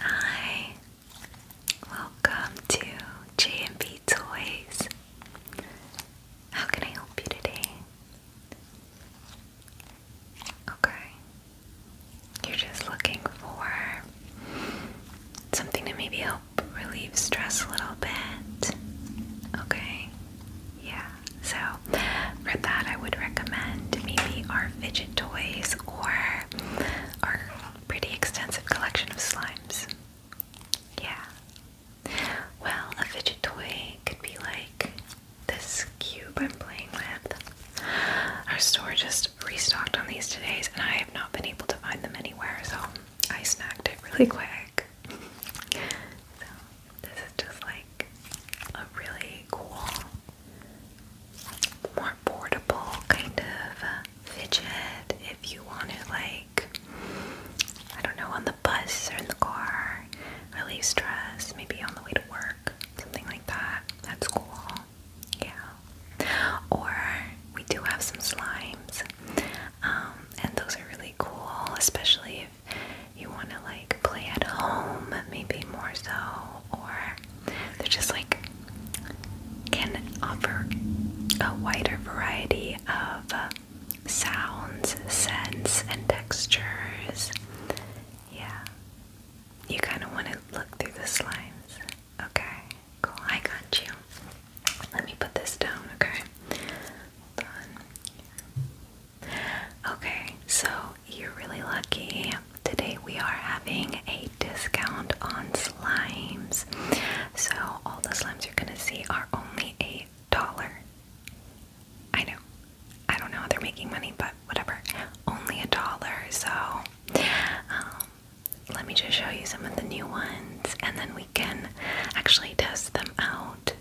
Hi, welcome to JMB Toys. How can I help you today? Okay, you're just looking for something to maybe help relieve stress a little bit. Okay, yeah, so for that, I would recommend maybe our fidget toys or our pretty extensive collection of slimes. Yeah. Well, a fidget toy could be like this cube I'm playing with. Our store just restocked on these today, and I have not been able to find them anywhere, so I snagged it really quick. so, this is just like a really cool more portable kind of uh, fidget if you want to, like, I don't know, on the bus or in the car, relieve stress, maybe on the way to work, something like that. That's cool. Yeah. Or we do have some slimes, um, and those are really cool, especially if you want to like play at home, maybe more so, or they're just like can offer a wider variety of uh, sounds, scents, and textures. Yeah. You kind of want to look through the slimes. Okay, cool. I got you. Let me put this down, okay? Hold on. Okay, so you're really lucky. Today we are having a discount on slimes. So all the slimes you're gonna see are only a dollar. I know. I don't know how they're making money, but whatever. Only a dollar. So um, let me just show you some of the new ones and then we can actually test them out.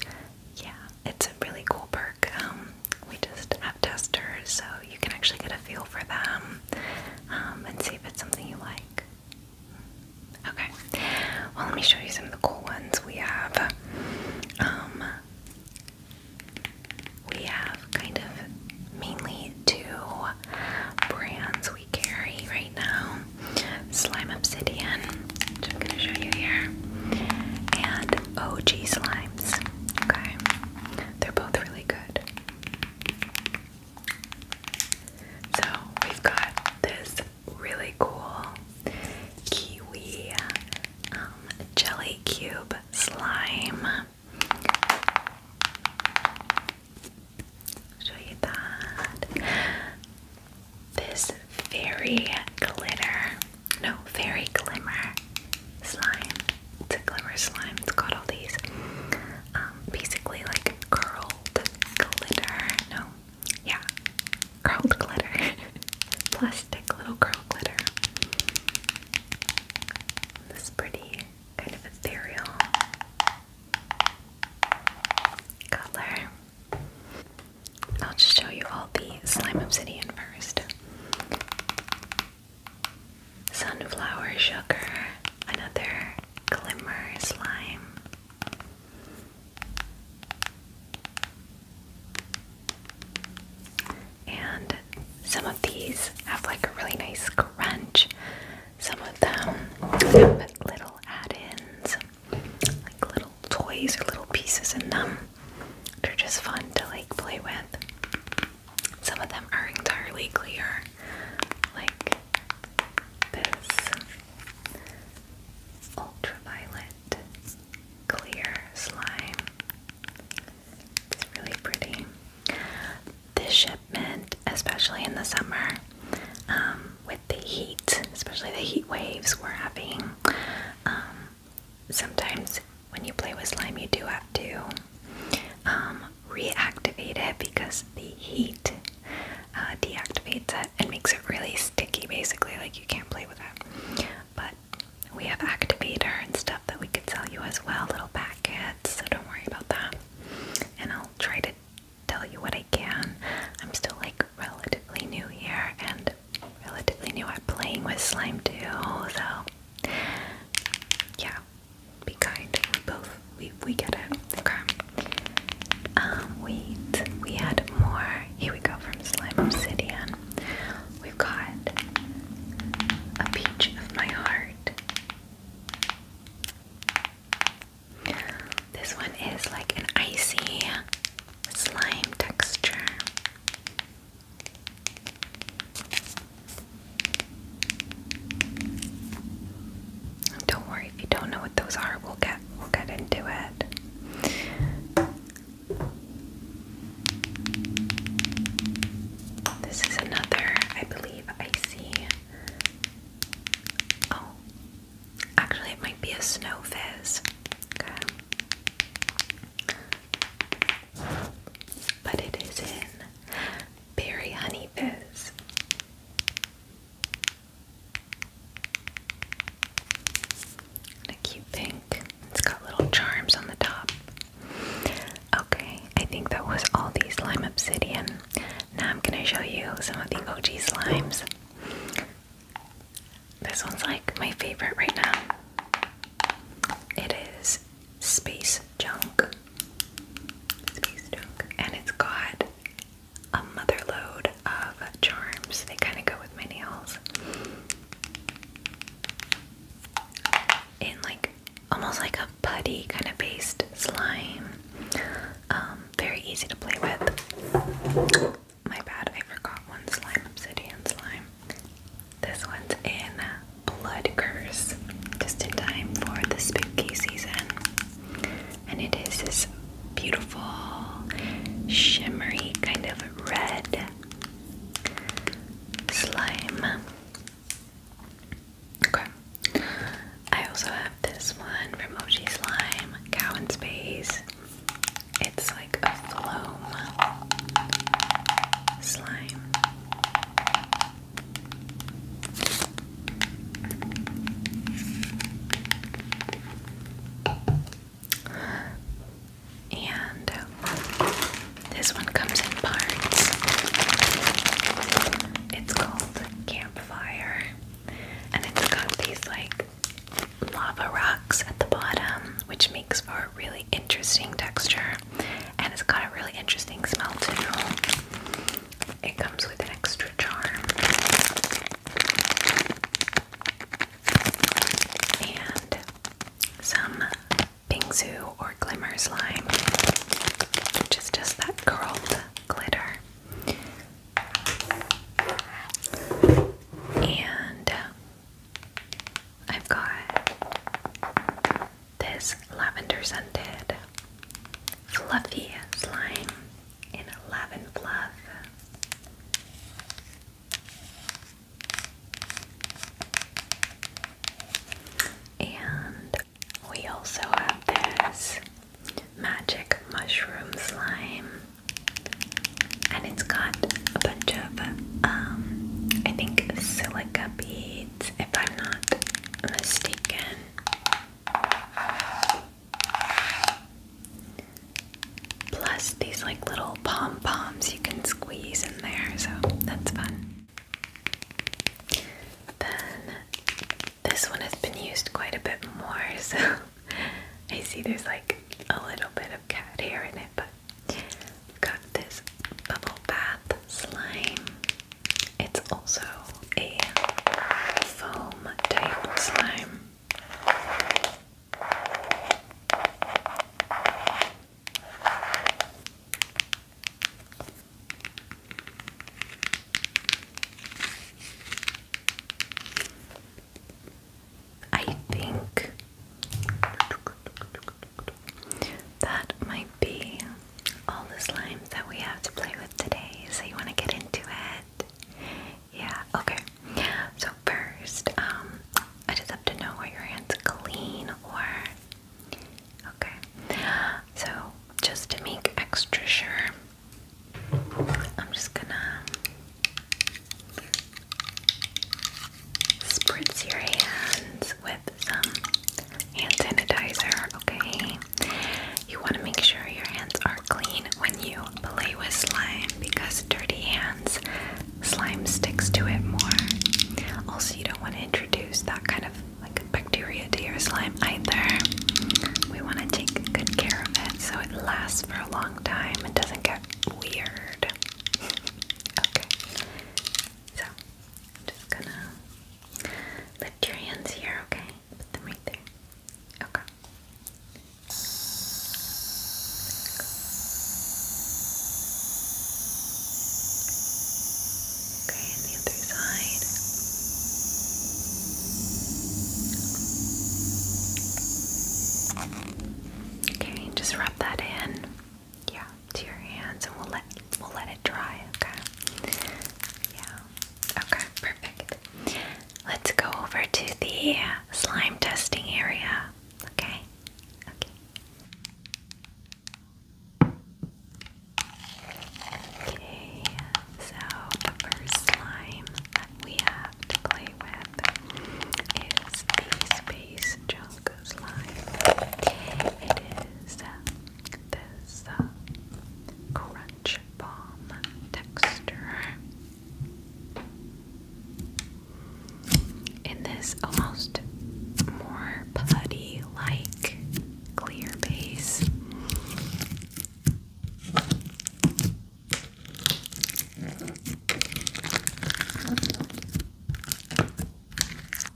Yeah, it's a really cool perk. Um, we just have testers so you can actually get a feel for them um, and see if it's something you like. Okay, well, let me show you some of the cool ones we have. Um, we have kind of mainly two brands we carry right now Slime Obsidian, which I'm going to show you here, and OG Slimes. Okay, they're both really good. So we've got this really cool kiwi um, jelly cube slime. show you that. This fairy glitter, no, fairy glimmer slime it's a glimmer slime. It's got all these um, basically like curled glitter. No, yeah, curled glitter, plastic little curled glitter. This pretty kind of ethereal color. I'll just show you all the slime obsidian first. Sunflower sugar, another glimmer slime. And some of these have like a really nice crunch. Some of them have little add-ins, like little toys or little pieces in them. They're just fun to like play with. Some of them are entirely clear, like this ultraviolet clear slime. It's really pretty. This shipment, especially in the summer, um, with the heat, especially the heat waves we're having, um, sometimes when you play with slime, you do have to um, reactivate it because the heat uh, deactivates it and makes it really sticky, basically, like you can't play with that. But we have activator and stuff that we could sell you as well, little packets, so don't worry about that. And I'll try to tell you what I can. I'm still like relatively new here and relatively new at playing with slime too, so yeah, be kind. We both we we get it. Okay. Um, wait. We had more. Here we go from Slime Obsidian. We've got a peach of my heart. This one is like an icy slime texture. Don't worry if you don't know what those are. We'll get we'll get into it. This is another, I believe, icy. Oh, actually, it might be a snow fizz but it is in Berry Honey Fizz. a cute pink. It's got little charms on the top. Okay, I think that was all these slime obsidian. Now I'm gonna show you some of the OG slimes. This one's like my favorite right now. It is space junk. Space junk. And it's got a motherload of charms. They kind of go with my nails. In like almost like a putty kind of based slime. Um, very easy to play with. My bad, I forgot one slime, obsidian slime. This one's in Blood Curse, just in time for the spooky season. And it is this beautiful, shimmery kind of red slime. Okay. I also have this one from Oji Slime, Cow in Space. It's like a foam slime. And this one comes in parts. It's called Campfire. And it's got these like lava rocks at the bottom, which makes for a really interesting texture. And it's got a really interesting smell too. It comes with an extra charm. And some Bingsu or Glimmer Slime, which is just that curled glitter. And I've got this lavender scented fluffy slime in lavender fluff. And we also have this magic mushroom slime. And it's got a bunch of, um, I think, silica beads if I'm not mistaken. Plus, these like little pom poms you can squeeze in there, so that's fun. Then this one has been used quite a bit more, so I see there's like a little bit of cat hair in it, but i this Bubble Bath Slime. It's also a foam type slime. I think that might be all the slime that we have to play with today. So, you want to get into it? Yeah, okay. So, first, um, I just have to know where your hands clean or. Okay. So, just to make extra sure, I'm just gonna spritz your hands with with some hand sanitizer, okay? You want to make sure your hands are clean when you play with slime because dirty hands, slime sticks to it more. Also, you don't want to introduce that kind of like bacteria to your slime either. We want to take good care of it so it lasts for a long time and doesn't get weird. okay. So, just gonna Lift your hands here, okay? Put them right there. Okay. Okay, and the other side. Okay, just rub that in. Yeah to your hands, and we'll let we'll let it dry. Okay. Yeah. Okay. Perfect. Let's go over to the slime testing area. Okay. Okay. Okay. So the first slime that we have to play with is the space junk slime. It is this uh, crunch bomb texture. In this almost more putty like clear base.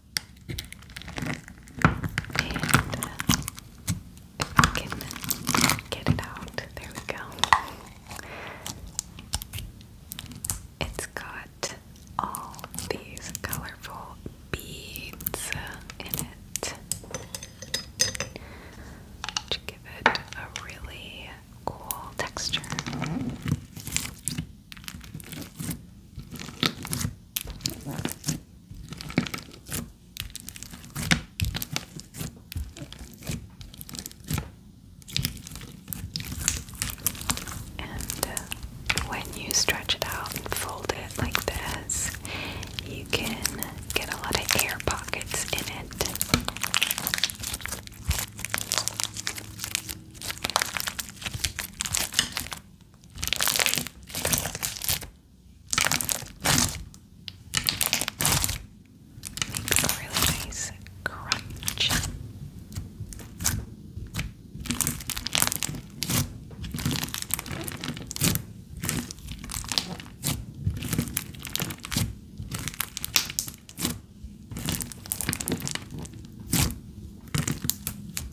And uh, get it out, there we go. It's got all these colorful beads in it. To give it a really cool texture. And uh, when you stretch it out and fold it like this, you can get a lot of air pockets in it. Makes a really nice crunch.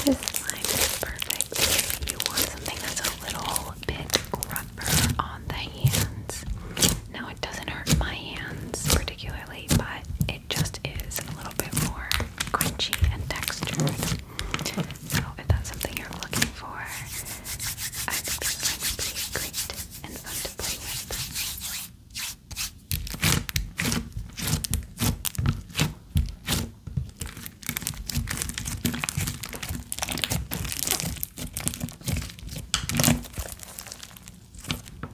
So, this slime is perfect you want something that's a little bit rougher on the hands. Now, it doesn't hurt my hands particularly but it just is a little bit more crunchy and textured. So if that's something you're looking for, I think this is be great and fun to play with.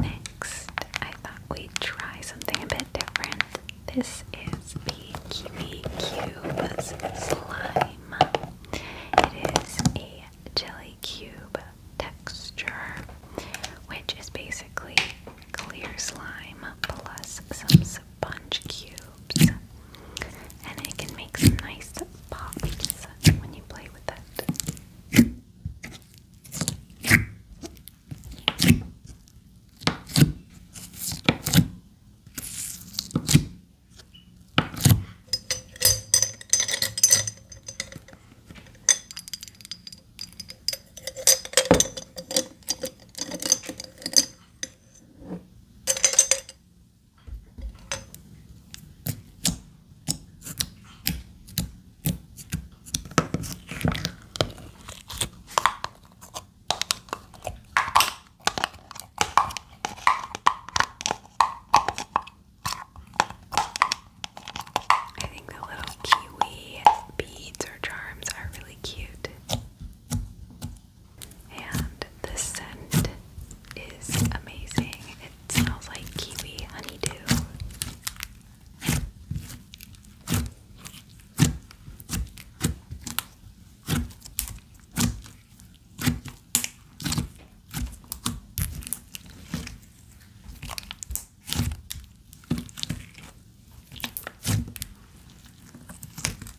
Next, I thought we'd try something a bit different. This is the Slime. It is a jelly cube texture, which is basically clear slime plus some sponge cubes, and it can make some nice pops when you play with it. I think the little kiwi beads or charms are really cute. And the scent is amazing. It smells like kiwi honeydew.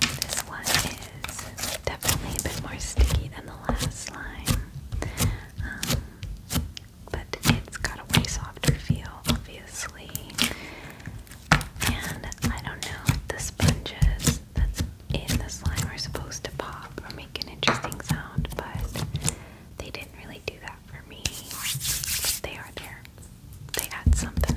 This one is definitely a bit more sticky than the last slime, um, but it's got a way softer feel, obviously. And I don't know the sponges that's in the slime are supposed to pop or make an interesting sound, but they didn't really do that for me. But they are there. They add something.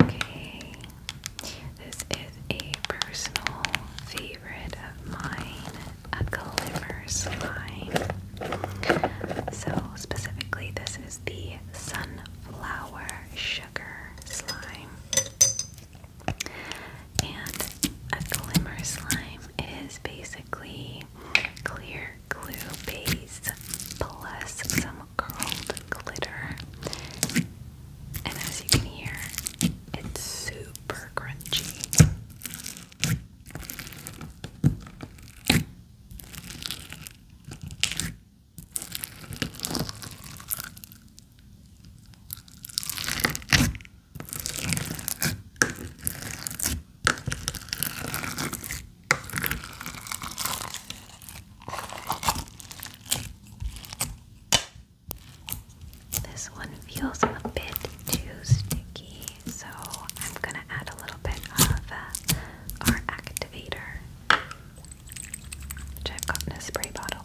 Okay, this is a personal favorite of mine, a glimmer slime. So, specifically, this is the sunflower sugar slime. And a glimmer slime is basically clear glue base plus some curled glitter. And as you can hear, it's super crunchy. This one feels a bit too sticky, so I'm gonna add a little bit of uh, our activator, which I've got in a spray bottle.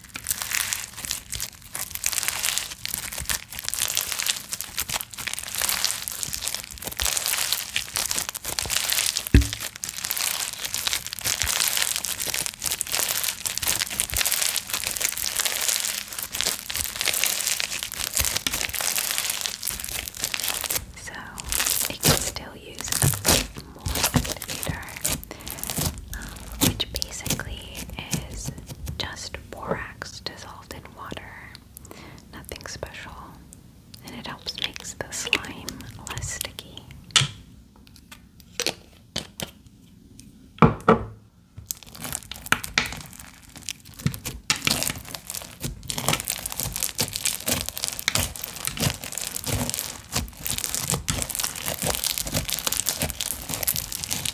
So it can still use a bit more activator. Um, which basically is just borax dissolved in water, nothing special, and it helps make the slime less sticky.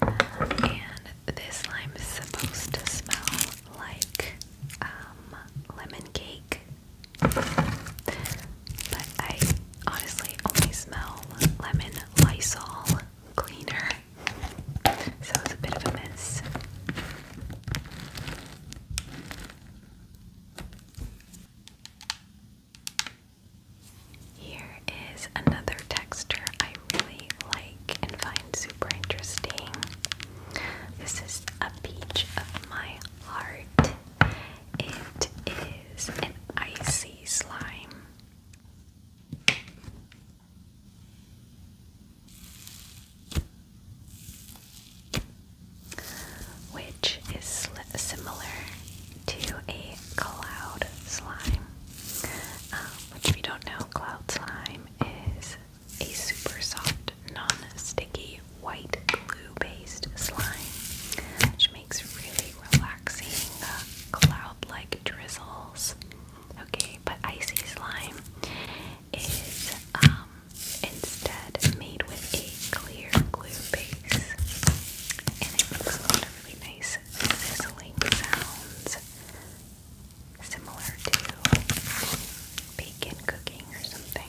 And this lime is supposed to smell like um, lemon cake. But I honestly only smell lemon Lysol cleaner. So it's a bit of a mess. Here is another texture I really like and find interesting. This is a peach of my heart. It is an icy slime. Which is similar to a cloud slime, which, um, if you don't know, cloud slime is a super soft, non-sticky white glue-based slime, which makes really relaxing uh, cloud-like drizzles. Okay, but icy slime is um, instead made with a clear glue base, and it makes a lot of really nice sizzling sounds similar to bacon cooking or something.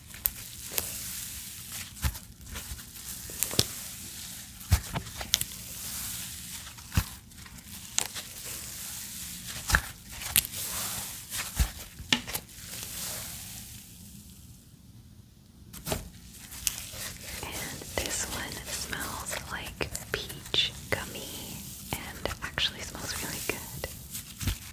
And this one smells like peach gummy and actually smells really good.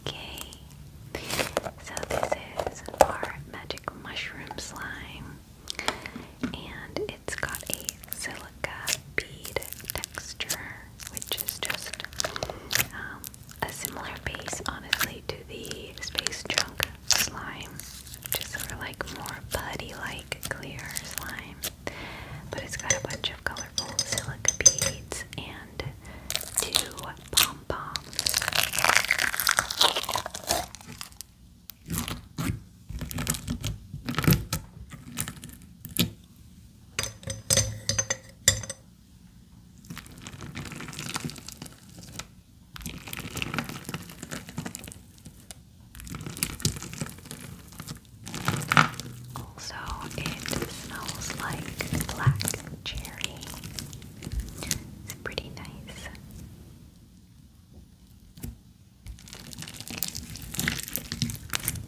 Okay, so this is our magic mushroom slime, and it's got a silica bead texture, which is just um, a similar base, honestly, to the space junk slime. Just is sort of like more putty-like clear slime. But it's got a bunch of colorful silica beads and two pom-poms. Also, it smells like black cherry. It's pretty nice.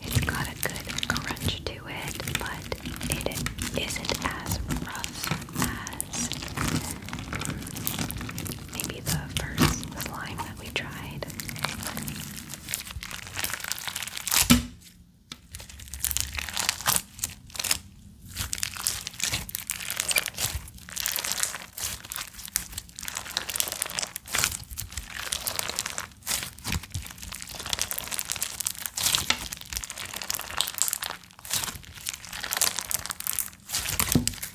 It's got a good crunch to it, but it isn't as rough as maybe the first slime that we tried.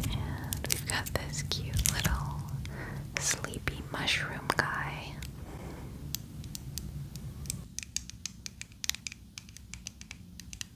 And we've got this cute little sleepy mushroom guy.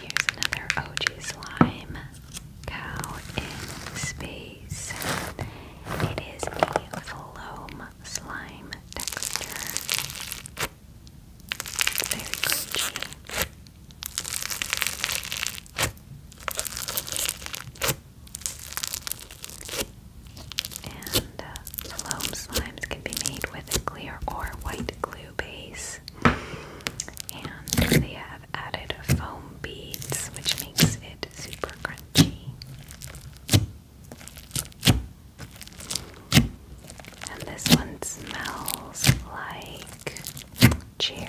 Here's another OG slime cow in space. It is a foam slime texture. Very crunchy. And foam uh, slimes can be made with clear or white glue base. And they have added foam beads, which makes it super crunchy. And this one smells like cherry.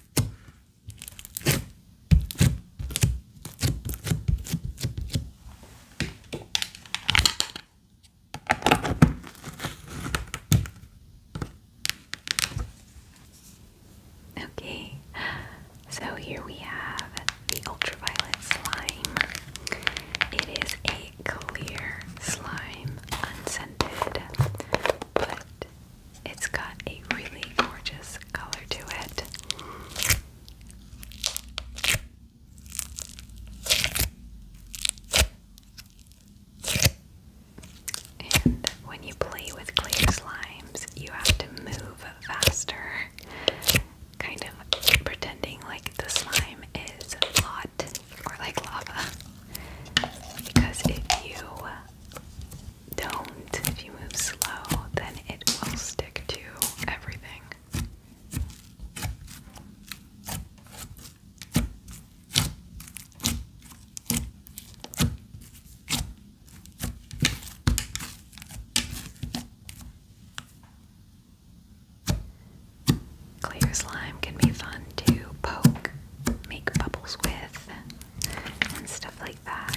Okay, so here we have the ultraviolet slime. It is a clear slime, unscented, but it's got a really gorgeous color to it. And when you play with clear slimes, you have to move faster, kind of pretending like the slime is hot or like lava. Because if you don't. If you move slow, then it will stick to everything. Clear slime can be fun to poke, make bubbles with, and stuff like that.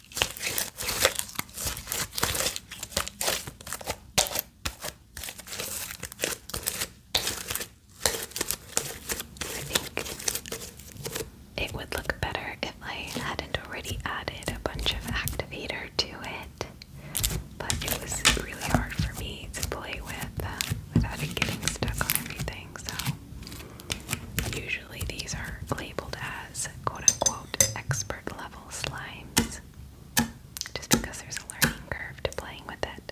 think it would look better if I hadn't already added a bunch of activator to it, but it was really hard for me to play with uh, without it getting stuck on everything, so. Usually, these are labeled as quote unquote expert level slimes just because there's a learning curve to playing with it.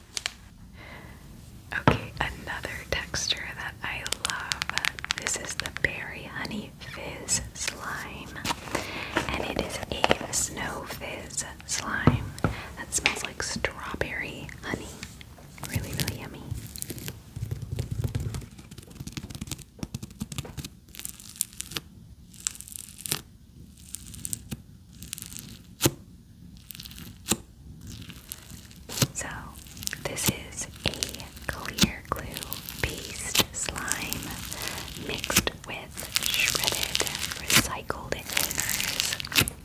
Okay, another texture that I love. This is the Berry Honey Fizz Slime. And it is a Snow Fizz slime that smells like strawberry honey. Really, really yummy. So, this is a clear glue based slime mixed with shredded recycled containers,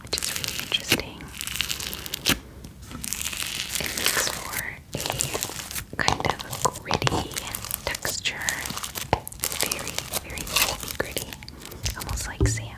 which is really interesting. It makes for a kind of gritty texture. very, very gritty, almost like sand.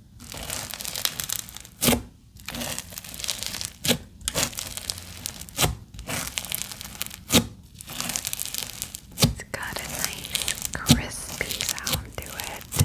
It's got a nice crispy sound to it.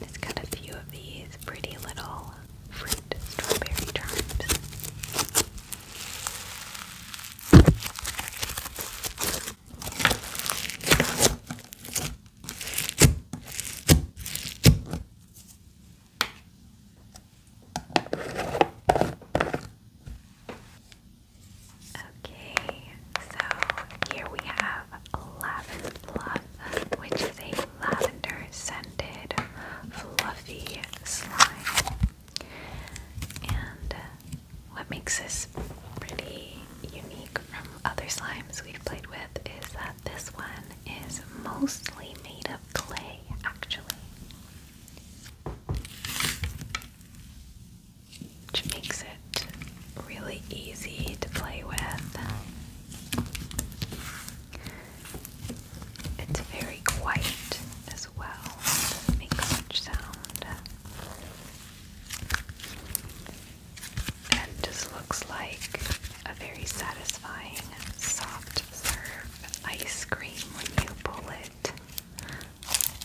It's got a few of these pretty little fruit strawberry charms. Okay, so here we have Lavin Fluff, which is a lavender scented fluffy slime. And uh, what makes this pretty unique from other slimes we've played with is that this one is mostly made of clay, actually which makes it really easy to play with. It's very quiet as well, it much sound. And just looks like a very satisfying soft serve ice cream when you pull it.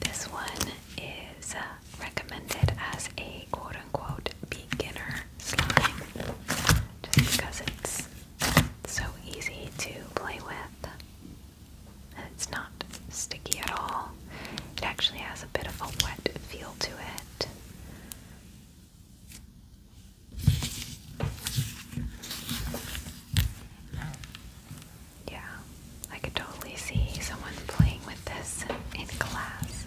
This one is uh, recommended as a quote unquote beginner slime just because it's so easy to play with. it's not sticky at all. It actually has a bit of a wet feel to it. Yeah, I could totally see someone playing with this in class.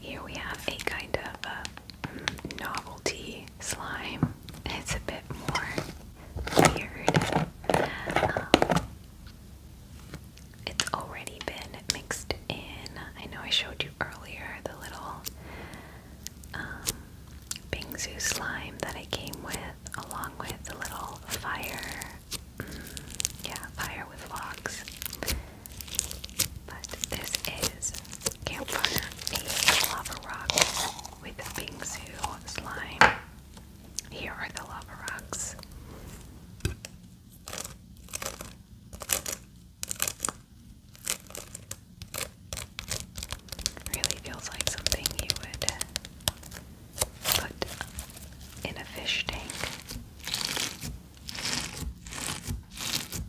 here we have a kind of a uh, novelty slime. It's a bit more weird. Um, it's already been mixed in. I know I showed you earlier the little um, Bingsu slime that I came with, along with the little fire. Mm, yeah, fire with logs. But this is Campfire, a lava rock with bingsu slime. Here are the lava rocks. Really feels like something you would put in a fish tank.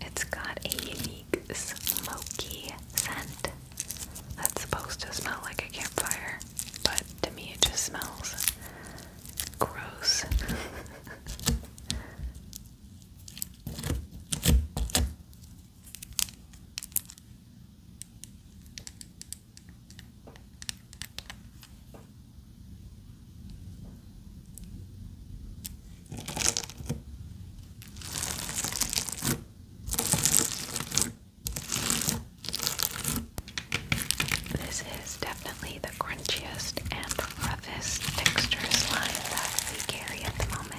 it's got a unique smoky scent that's supposed to smell like a campfire, but to me it just smells gross. This is definitely the crunchiest and roughest texture slime that we carry at the moment.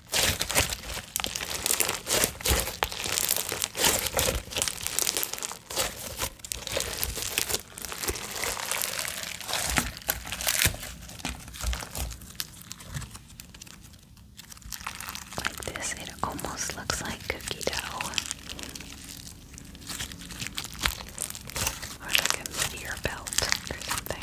Like this, it almost looks like cookie dough. Or like a meteor belt or something.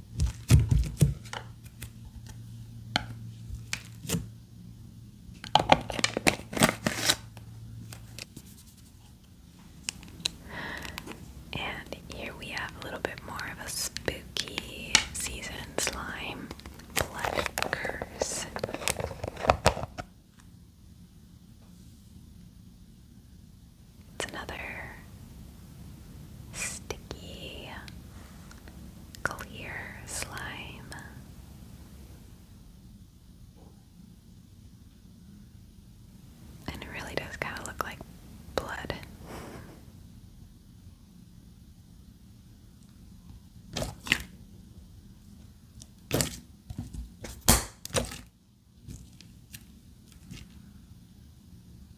And here we have a little bit more of a spooky season slime blood curse. It's another sticky, clear slime. And it really does kind of look like blood.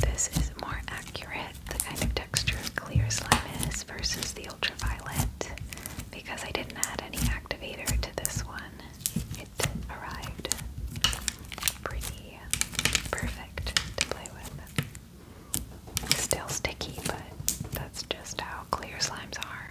This is more accurate, the kind of texture clear slime is versus the ultraviolet, because I didn't add any activator to this one. It arrived pretty be perfect to play with. Still sticky, but that's just how clear slimes are.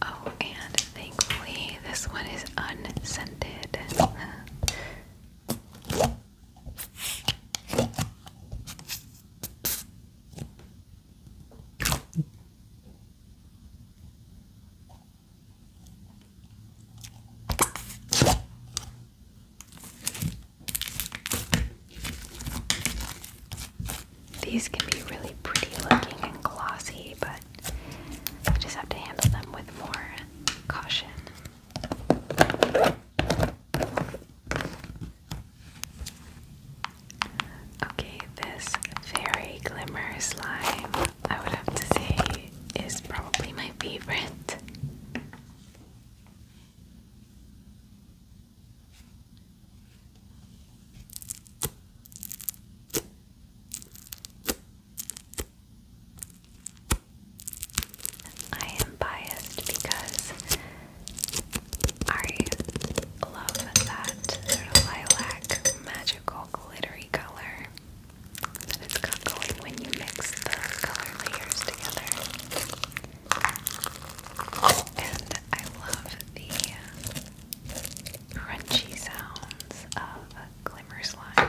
Oh, and thankfully, this one is unscented. These can be really pretty looking and glossy, but I just have to handle them with more caution. Okay, this fairy glimmer slime, I would have to say, is probably my favorite. I am biased because I love that lilac magical glittery color that it's got going when you mix those color layers together. And I love the crunchy sounds of glimmer slime.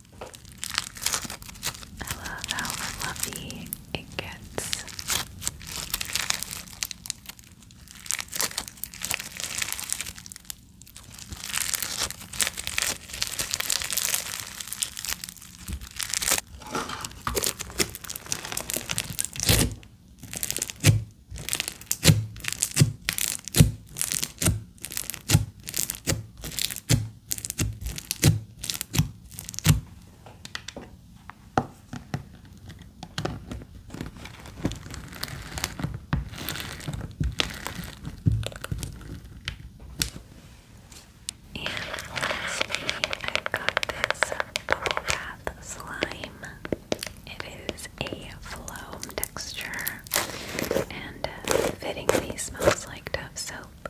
I love how fluffy it gets. And lastly, i got this Bath Slime. It is a flow texture and fittingly smells like Dove soap.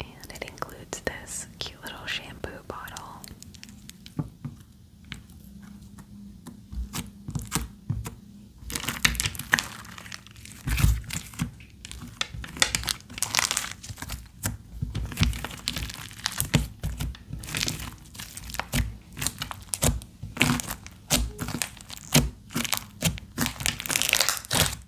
And it includes this cute little shampoo bottle.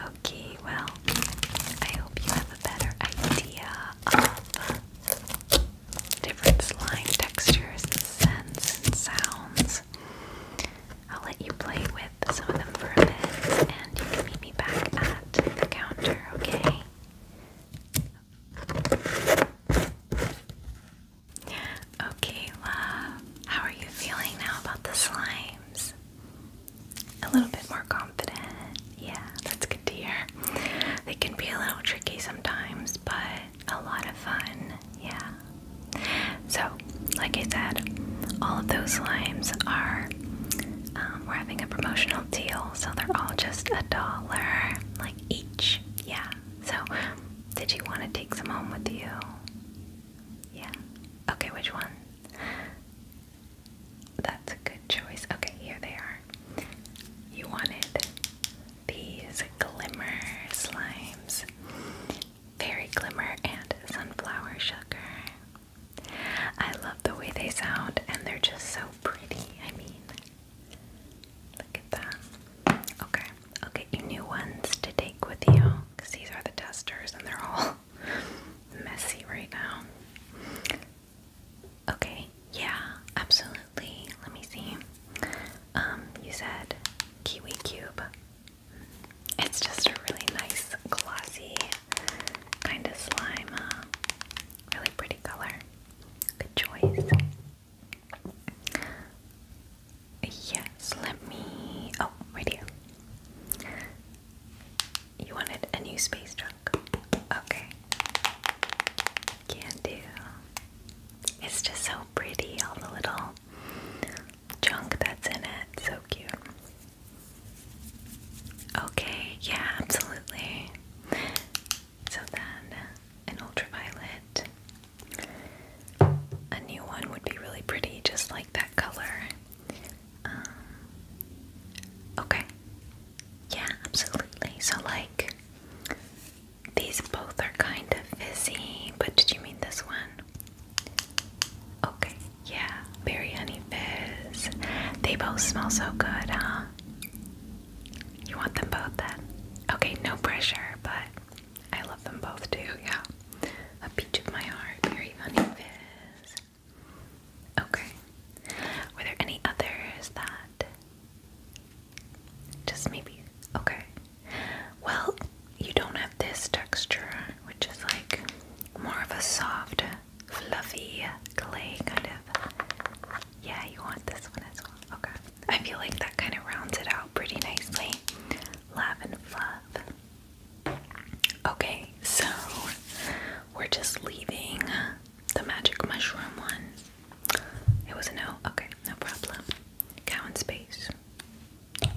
Okay, well, I hope you have a better idea of different slime textures scents and sounds. I'll let you play with some of them for a bit, and you can meet me back at the counter, okay? Okay, love. How are you feeling now about the slimes? A little bit more confident. Yeah, that's good to hear. They can be a little tricky sometimes, but a lot of fun. Yeah. So, like I said, all of those slimes are, um, we're having a promotional deal, so they're all just a dollar, like each. Yeah. So, did you want to take some home with you? Yeah. Okay, which one? That's a good choice. Okay, here they are. You wanted these glimmer slimes. Fairy Glimmer and Sunflower Sugar. I love the way they sound and they're just so pretty. I mean, look at that. Okay, I'll get you new ones to take with you because these are the testers and they're all messy right now. Okay, yeah, absolutely. Let me see. Um, you said Kiwi Cube. It's just a really nice, glossy kind of slime. Uh, really pretty color. Good choice. Yes, let me. Oh, right here. You wanted a new space junk. Okay. Can do. It's just so pretty, all the little junk that's in it. So cute. Okay, yeah, absolutely. So then, an ultraviolet. A new one would be really pretty, just like that color. Um, okay. Yeah, absolutely. So, like, these both are kind of fizzy, but did you mean this one? Okay, yeah, berry honey fizz. They both smell so good, huh? You want them both then? Okay, no pressure, but I love them both too, yeah. A peach of my heart, berry honey fizz. Okay. Were there any others that just maybe okay. Well, you don't have this texture, which is like more of a soft, fluffy clay kind of. Yeah, you want this one as well. Okay. I feel like that kind of rounds it out pretty nicely. Lavin fluff. Okay, so we're just leaving the magic mushroom one. It was a no? Okay, no problem. Cow in space.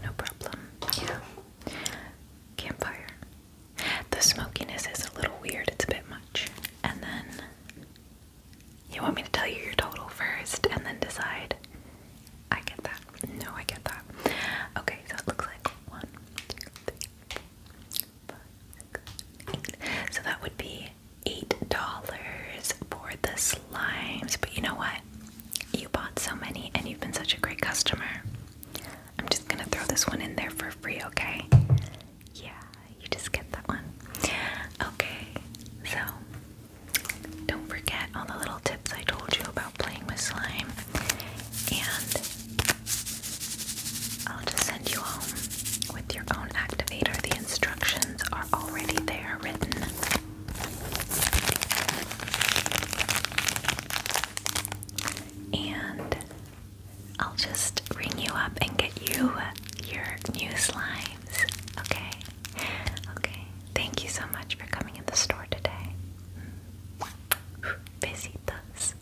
No problem. Yeah. Campfire. The smokiness is a little weird. It's a bit much. And then you want me to tell you your total first and then decide? I get that. No, I get that. Okay, so it looks like one, two, three, four, five, six, eight. So that would be eight dollars for the slimes. But you know what? You bought so many and you've been such a great customer. I'm just gonna throw this one in there for free, okay? Yeah, you just get that one. Okay, so don't forget all the little tips I told you about playing with slime, and I'll just send you home with your own activator. The instructions are already there written. And I'll just ring you up and get you your new slimes. Okay? Okay. Thank you so much for coming in the store today. Mm. Besitos.